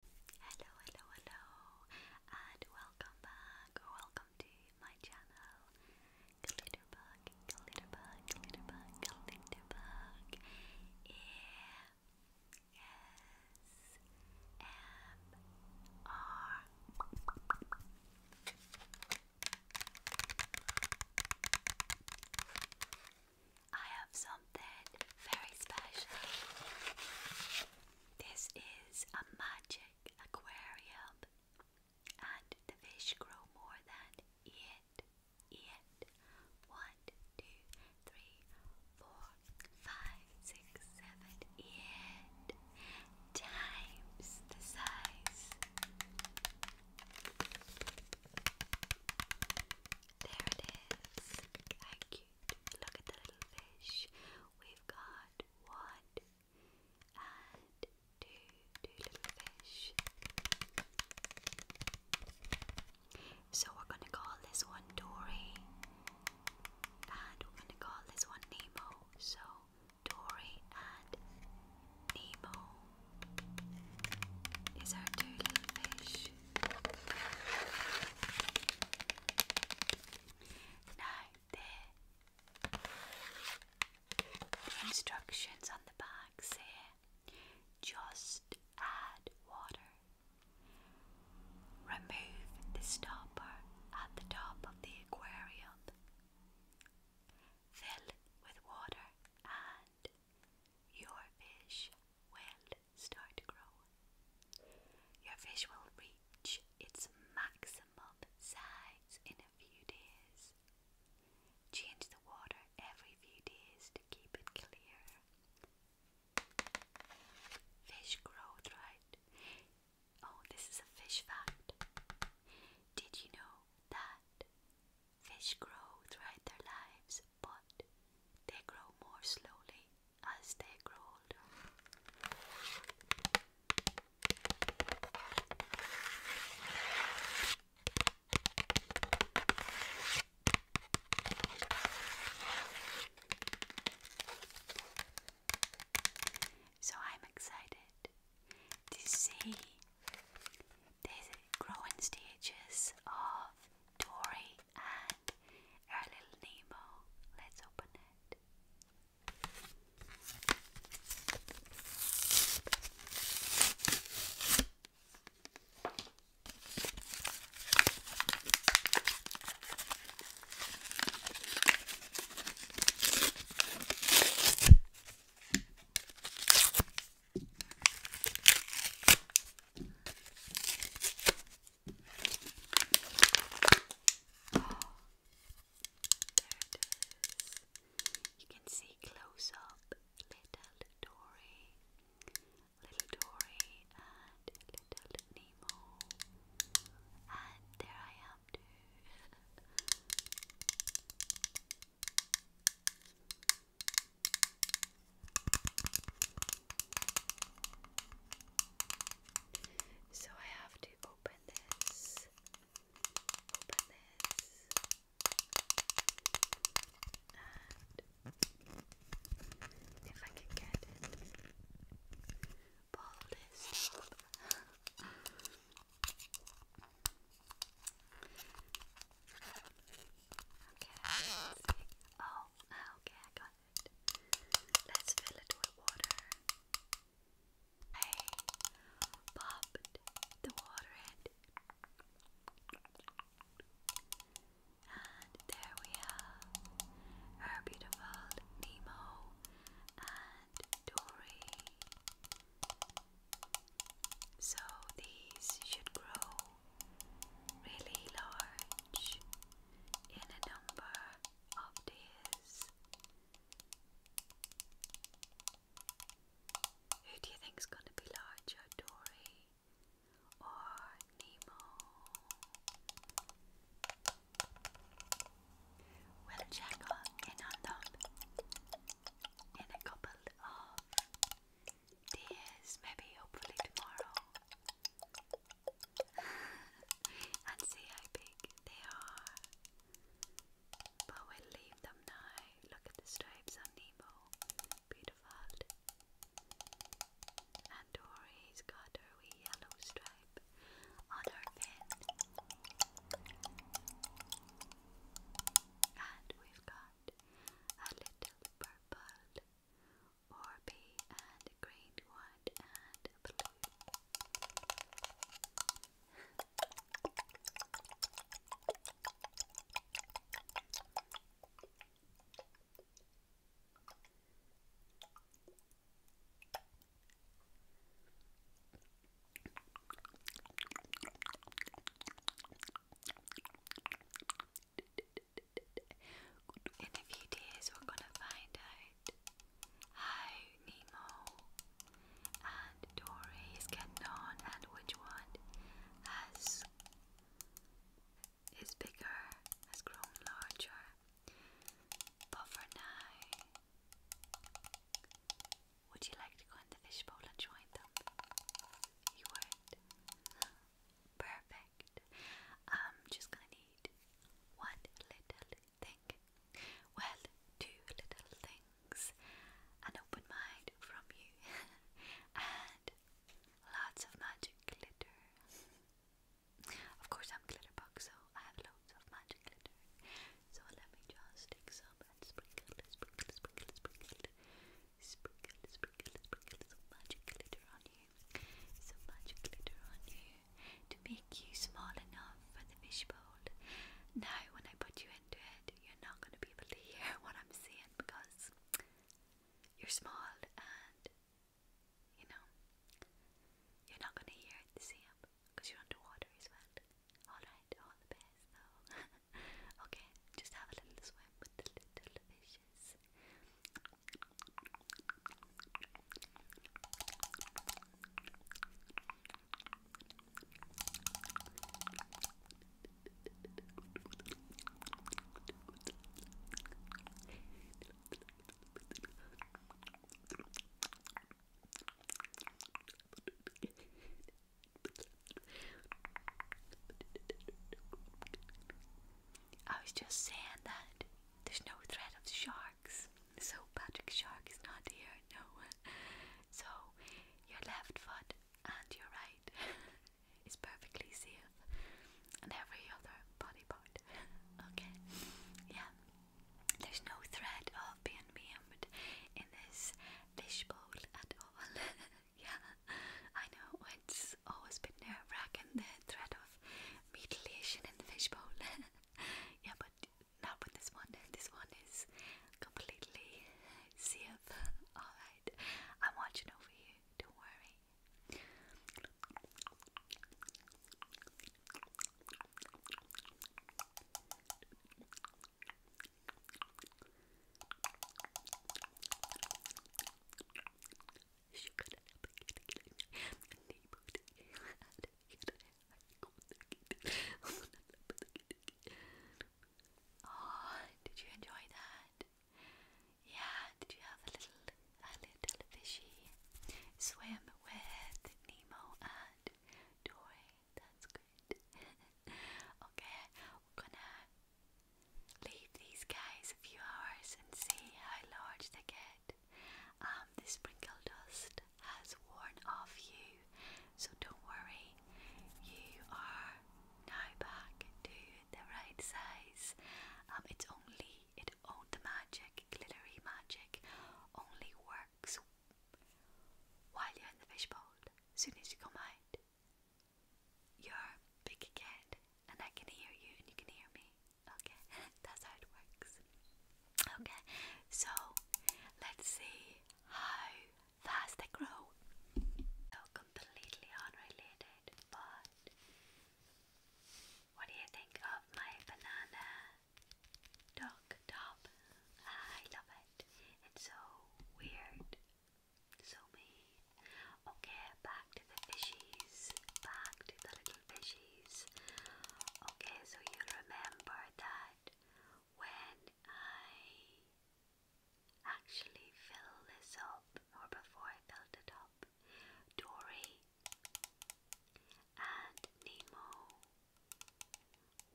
Hello, hello, hello, and welcome back welcome to my channel. Glitterbug, glitterbug, glitterbug, glitterbug. E S M R. I have something very special. This is a magic aquarium, and the fish grow more than eight, eight, one, two, three, four, five, six, seven, eight times the size. There it is. How cute Look at the little fish. We've got one and two, two little fish. So we're going to call this one Dory. And we're going to call this one Nemo. So Dory and Nemo is our two little fish. Now, there. instructions on the back say just add water. Remove the stopper at the top of the aquarium. Fill with water and your fish will start to grow. Your fish will reach its maximum size in a few days. Change the water every few days to keep it clear. Fish grow throughout. Oh, this is a fish fact. Did you know that fish grow throughout their lives but they grow more slowly as they grow older. So I'm excited to see they grow stages of Dory and our little Nemo. Let's open it. You can see close up little Dory, little Dory, and little Nemo, and there I am too. So I have to open this. Open this. And if I can get it, pull this Okay, Oh, okay, I got it. Let's fill it with water. I popped the water in. And there we have our beautiful Nemo and Dory so these should grow really large in a number of days. Who do you think is going to be larger, Dory or Nemo? We'll check on in a couple of days, maybe hopefully tomorrow, and see how big they are. But we leave them now. Look at the stripes on Nemo, beautiful. And Dory's got her wee yellow stripe on her fin. And we've got around a little purple orby and green one and blue. In a few days, we're gonna find out how Nemo and Dory is getting on, and which one has is bigger, has grown larger. But for now, would you like to go in the fishbowl and join them? You would. Perfect. I'm just gonna need one little thing. Well, two little things. An open mind from you and lots of magic glitter. Of course, I'm Glitterbox, so I have loads of magic glitter. So let me just take some and sprinkle, sprinkle, sprinkle, sprinkle, sprinkle, sprinkle, sprinkle some magic glitter on you, some magic glitter on you to make you small enough for the fishbowl. Now, when I put you into it, you're not going to be able to hear what I'm saying because you're small and you know you're not going to hear it the same because you're underwater as well. Alright bed. All okay, just have a little swim with the little fishes. I was just saying that there's no threat of sharks, so Patrick Shark is not here, no. So your left foot and your right is perfectly safe, and every other body part. okay, yeah. There's no thread of being maimed in this fishbowl at all. yeah, I know it's always been there, wracking the thread of mutilation in the fishbowl. yeah, but not with this one. This one is completely safe. Alright, I'm watching over you, don't worry. Oh, did you enjoy that? Yeah, did you have a little, a little fishy swim with Nemo and Dory that's good. okay, we're gonna leave these guys a few hours and see how large they get. Um, the sprinkle dust has worn off you, so don't worry, you are now back to the right size. Um, it's only it all the magic, glittery magic, only works back while you're in the fishbowl. Soon as you come out, you're big again, and I can hear you, and you can hear me. Okay, that's how it works. Okay, so let's see how fast they grow. So completely unrelated, but what do you think of my banana? dog top. I love it. It's so weird. So mean. Okay, back to the fishies. Back to the little fishies. Okay, so you remember that when I actually fill this up, or before I filled it up, Dory and Nemo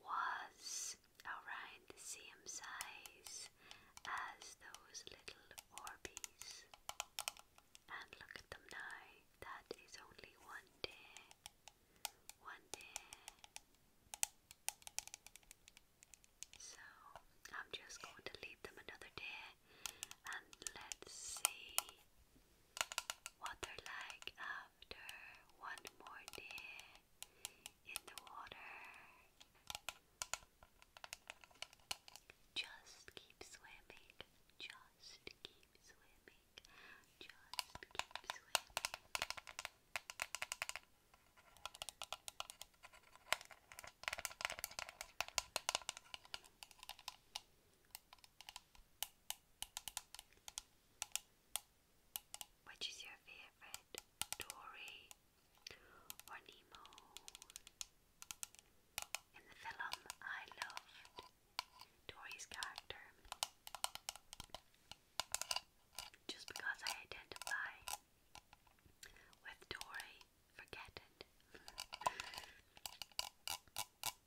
was around the same size as those little Orbeez. And look at them now, that is only one day. One day. So I'm just going to leave them another day and let's see water like after one more day in the water. Just keep swimming, just keep swimming, just keep swimming. Which is your favorite, Dory or Nemo? In the film, I loved Dory's character just because I identify with Dory. Forget it.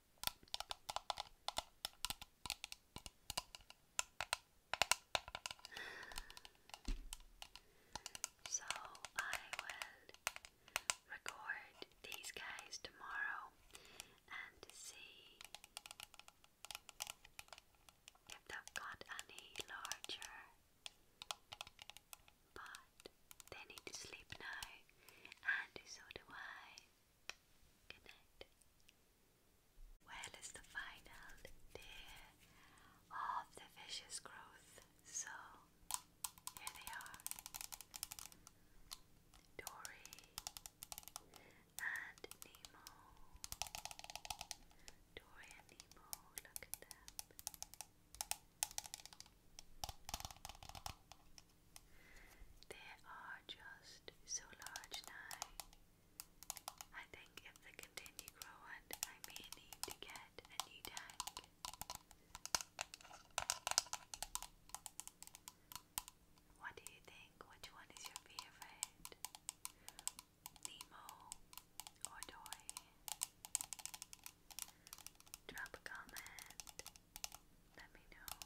So I will record these guys tomorrow and see if they've got any larger but they need to sleep now, and so do I. Good Well, it's the final day of the fish's growth, so here they are Dory and Nemo. Dory and Nemo, look at them. They are just so large now. I think if they continue growing, I may need to get a new tank. What do you think? Which one is your favorite? Nemo or Dory? Drop a comment. Let me know.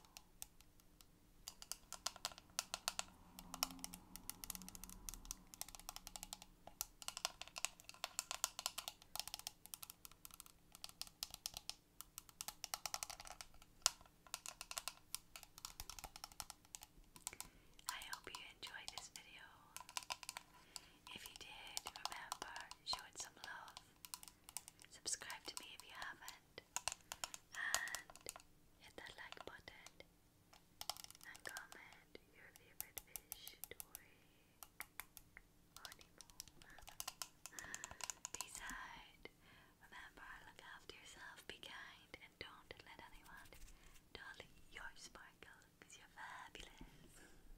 I hope you enjoyed this video. If you did, remember, show it some love. Subscribe to me if you haven't. And hit that like button. And comment your favorite fish story. Peace out. Remember, look after yourself, be kind, and don't let anyone dull your sparkle because you're fabulous.